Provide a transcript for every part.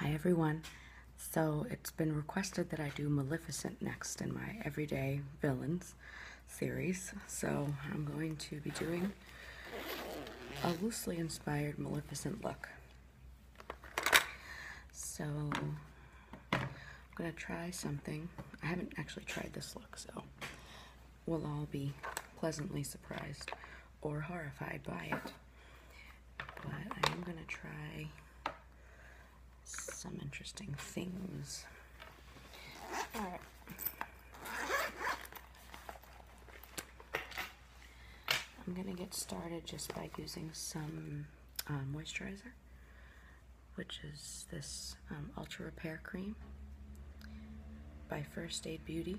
Hi everyone. So it's been requested that I do Maleficent next in my Everyday Villains series. So I'm going to be doing a loosely inspired Maleficent look. So I'm going to try something. I haven't actually tried this look, so we'll all be pleasantly surprised or horrified by it. But I'm going to try some interesting things. I'm going to get started just by using some uh, moisturizer, which is this um, Ultra Repair Cream by First Aid Beauty.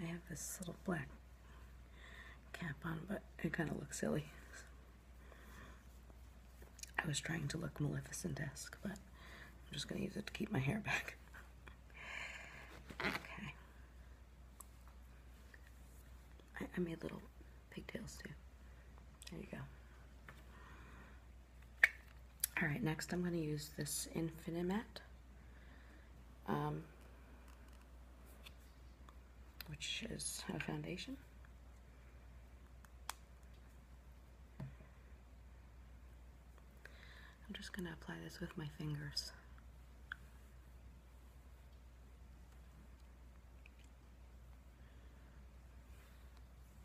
I have this little black cap on, but it kind of looks silly. I was trying to look Maleficent-esque, but I'm just going to use it to keep my hair back. Okay. I, I made little pigtails too. There you go. All right, next I'm going to use this Infinimet, um, which is a foundation. I'm just going to apply this with my fingers.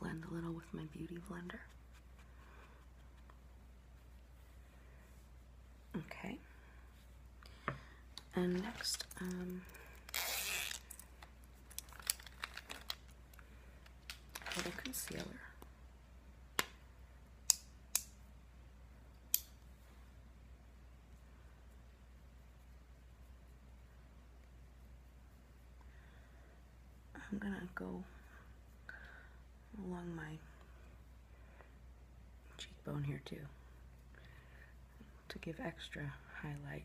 Blend a little with my beauty blender. Okay. And next, um, little concealer. I'm gonna go along my cheekbone here too to give extra highlight.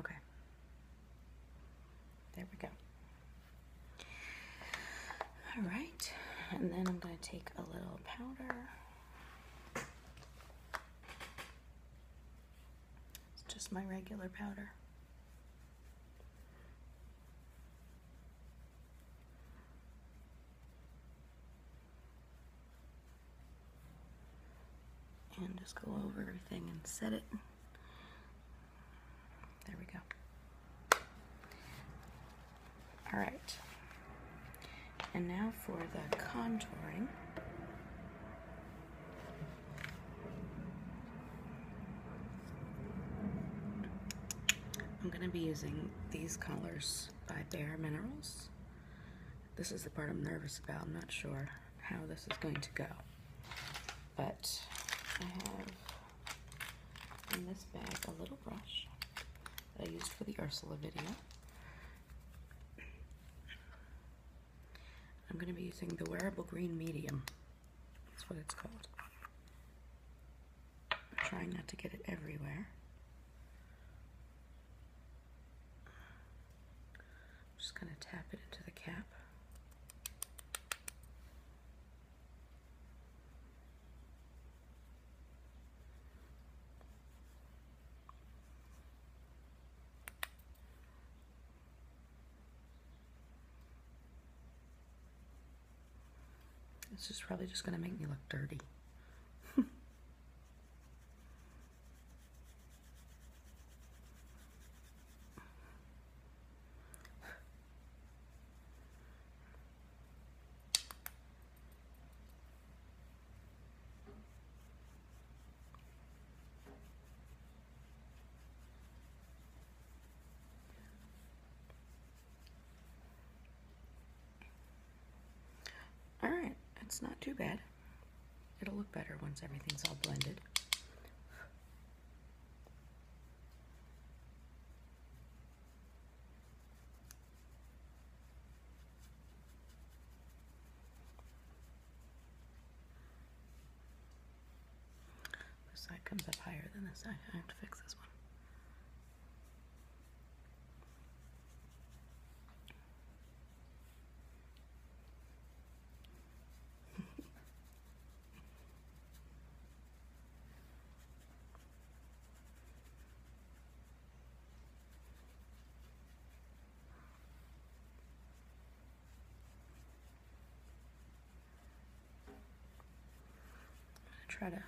Okay. There we go. All right. And then I'm going to take a little powder. It's just my regular powder and just go over everything and set it. There we go. All right. And now for the contouring. I'm going to be using these colors by Bare Minerals. This is the part I'm nervous about, I'm not sure how this is going to go. But I have in this bag a little brush that I used for the Ursula video. I'm going to be using the wearable green medium. That's what it's called. I'm trying not to get it everywhere. I'm just going to tap it into the cap. This is probably just going to make me look dirty. All right, it's not too bad. It'll look better once everything's all blended. This side comes up higher than this side. I have to fix this one. I'm gonna try to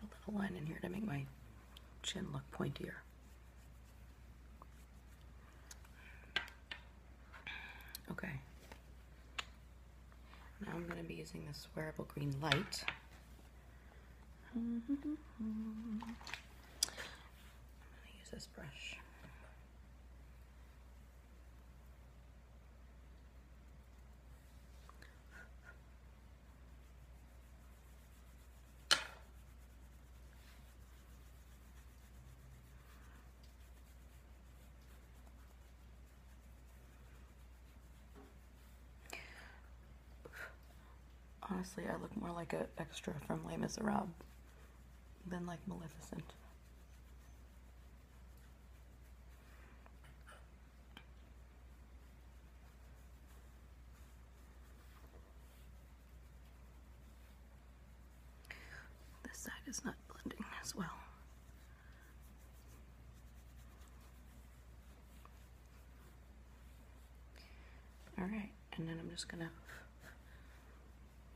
put a little line in here to make my chin look pointier. Okay. Now I'm going to be using this wearable green light. I'm going to use this brush. Honestly, I look more like an extra from Les Miserables than like Maleficent. This side is not blending as well. All right, and then I'm just gonna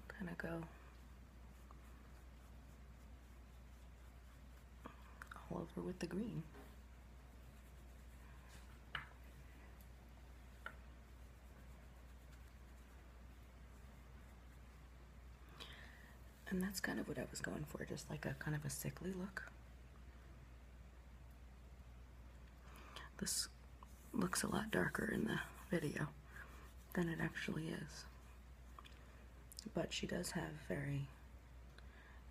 kind of go all over with the green. And that's kind of what I was going for, just like a kind of a sickly look. This looks a lot darker in the video than it actually is. But she does have very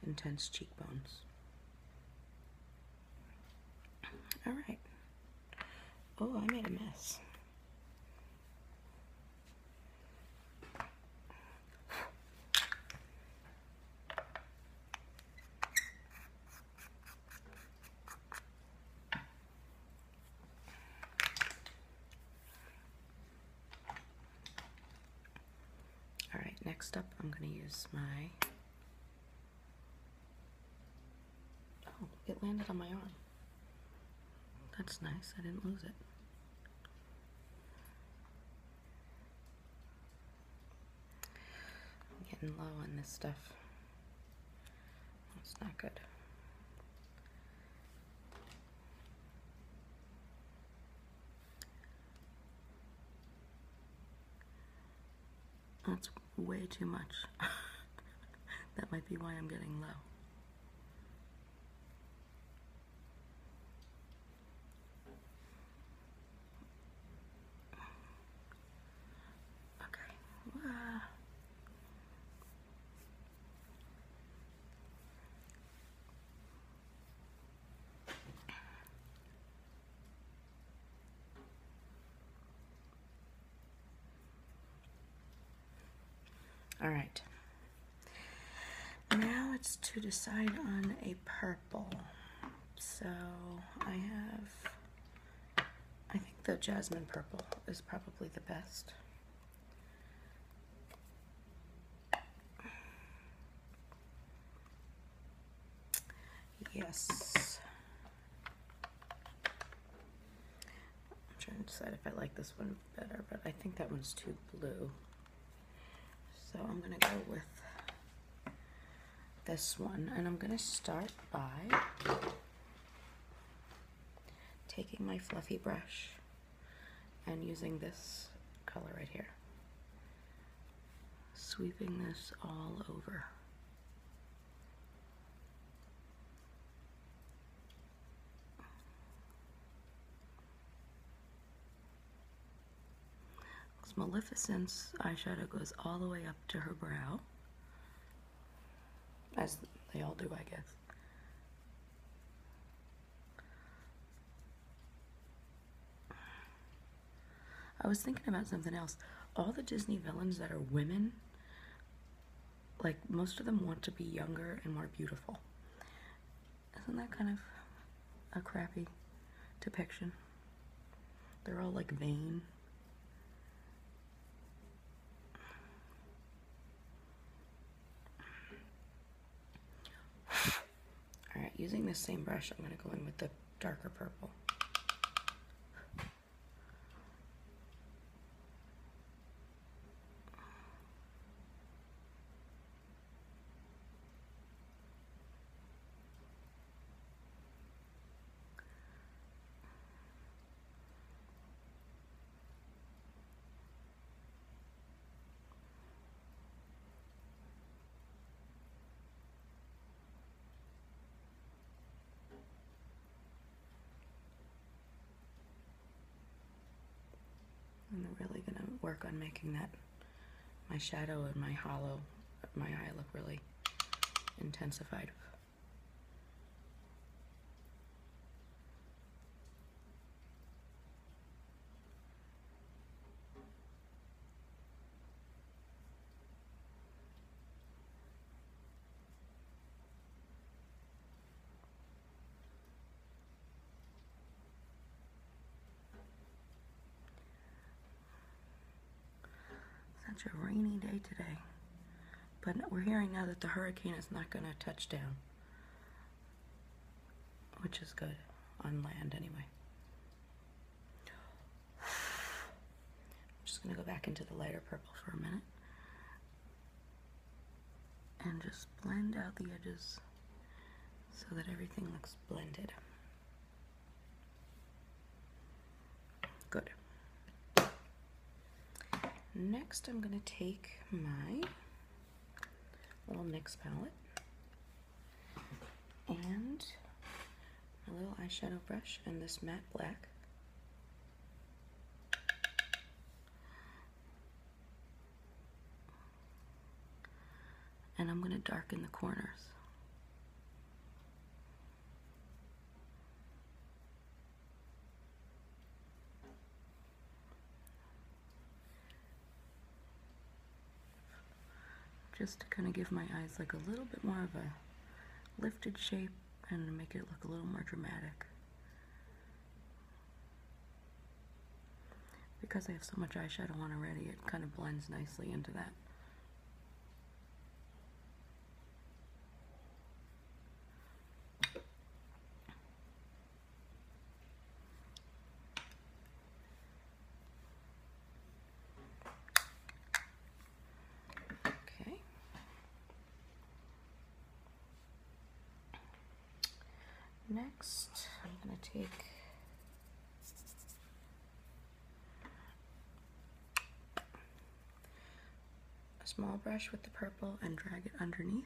intense cheekbones. All right. Oh, I made a mess. All right, next up, I'm going to use my. Oh, it landed on my arm. That's nice, I didn't lose it. I'm getting low on this stuff. That's not good. That's way too much. that might be why I'm getting low. Okay. Uh, all right. Now it's to decide on a purple. So I have, I think the jasmine purple is probably the best. Yes. I'm trying to decide if I like this one better, but I think that one's too blue. So I'm gonna go with this one, and I'm gonna start by taking my fluffy brush and using this color right here sweeping this all over. Because Maleficent's eyeshadow goes all the way up to her brow, as they all do, I guess. I was thinking about something else. All the Disney villains that are women, like most of them want to be younger and more beautiful. Isn't that kind of a crappy depiction? They're all like vain. All right, using this same brush, I'm gonna go in with the darker purple. I'm really gonna work on making that my shadow and my hollow, my eye look really intensified. Such a rainy day today. But we're hearing now that the hurricane is not going to touch down, which is good on land anyway. I'm just going to go back into the lighter purple for a minute. And just blend out the edges so that everything looks blended. Good. Next, I'm going to take my little NYX palette and a little eyeshadow brush and this matte black. And I'm going to darken the corners just to kind of give my eyes like a little bit more of a lifted shape and make it look a little more dramatic. Because I have so much eyeshadow on already, it kind of blends nicely into that. Okay. Next, I'm going to take a small brush with the purple and drag it underneath.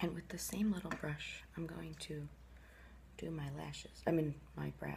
And with the same little brush, I'm going to do my lashes, I mean, my brows.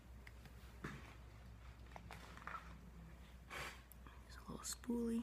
It's a little spoolie.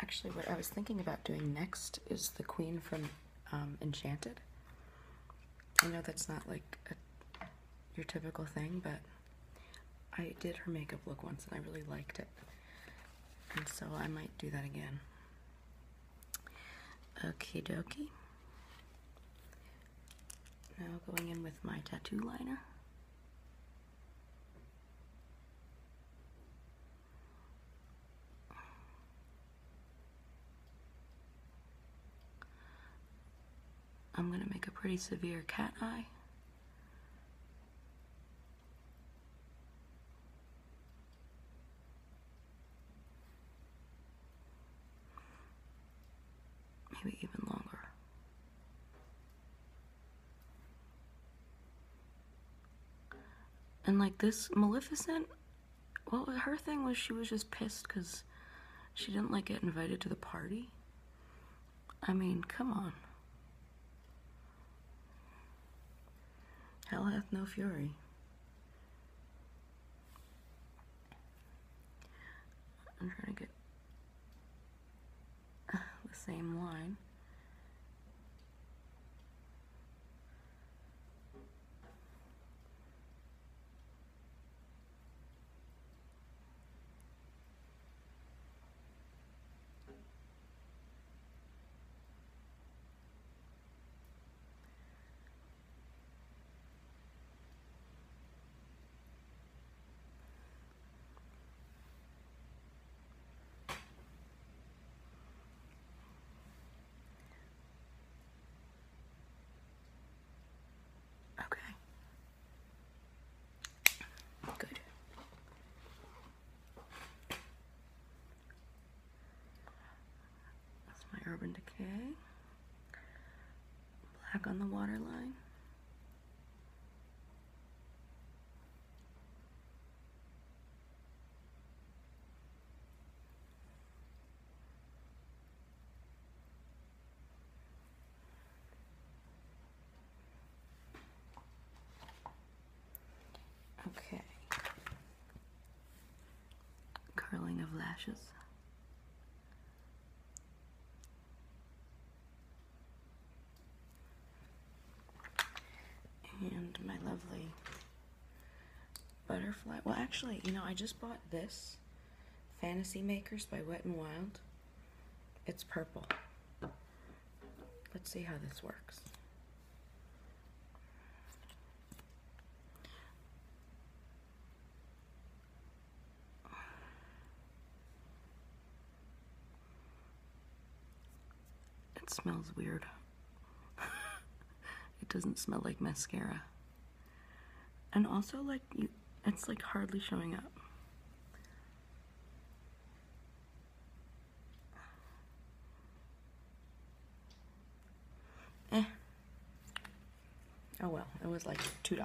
Actually, what I was thinking about doing next is the queen from um, Enchanted. I know that's not like your typical thing, but I did her makeup look once and I really liked it. And so I might do that again. Okay, dokie. Now going in with my tattoo liner. I'm gonna make a pretty severe cat eye. Maybe even longer. And like this Maleficent, well, her thing was she was just pissed because she didn't like get invited to the party. I mean, come on. Hell hath no fury. I'm trying to get the same line. Okay. Good. That's my Urban Decay. Black on the waterline. Okay. Curling of lashes. And my lovely butterfly. Well, actually, you know, I just bought this Fantasy Makers by Wet and Wild. It's purple. Let's see how this works. It smells weird. it doesn't smell like mascara. And also, like, it's like hardly showing up. Eh. Oh well, it was like $2.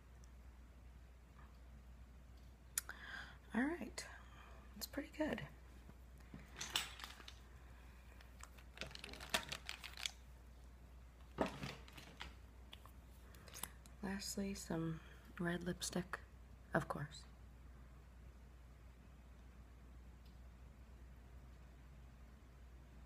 All right, that's pretty good. Lastly, some red lipstick, of course.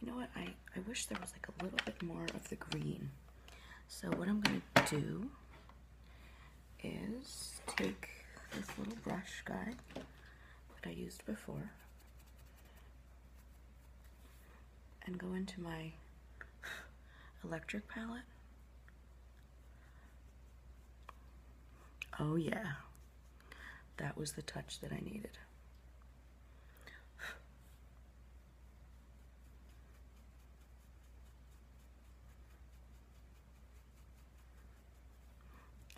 You know what? I, I wish there was like a little bit more of the green. So what I'm going to do is take this little brush guy that I used before and go into my electric palette. Oh yeah, that was the touch that I needed.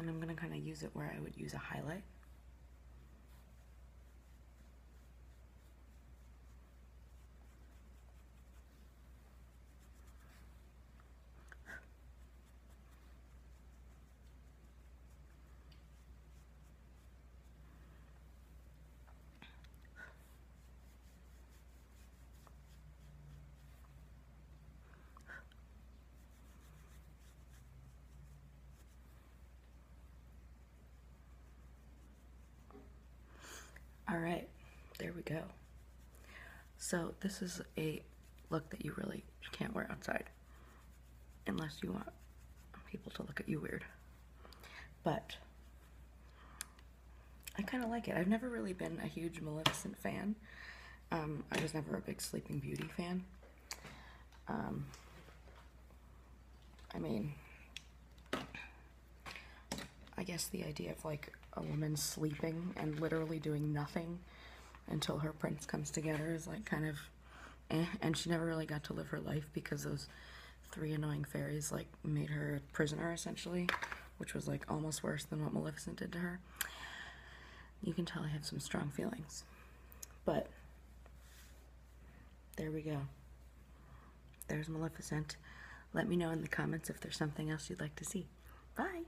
And I'm going to kind of use it where I would use a highlight. All right, there we go. So this is a look that you really can't wear outside unless you want people to look at you weird. But I kind of like it. I've never really been a huge Maleficent fan. Um, I was never a big Sleeping Beauty fan. Um, I mean, I guess the idea of like a woman sleeping and literally doing nothing until her prince comes together is like kind of eh. And she never really got to live her life because those three annoying fairies like made her a prisoner essentially, which was like almost worse than what Maleficent did to her. You can tell I have some strong feelings. But there we go. There's Maleficent. Let me know in the comments if there's something else you'd like to see. Bye!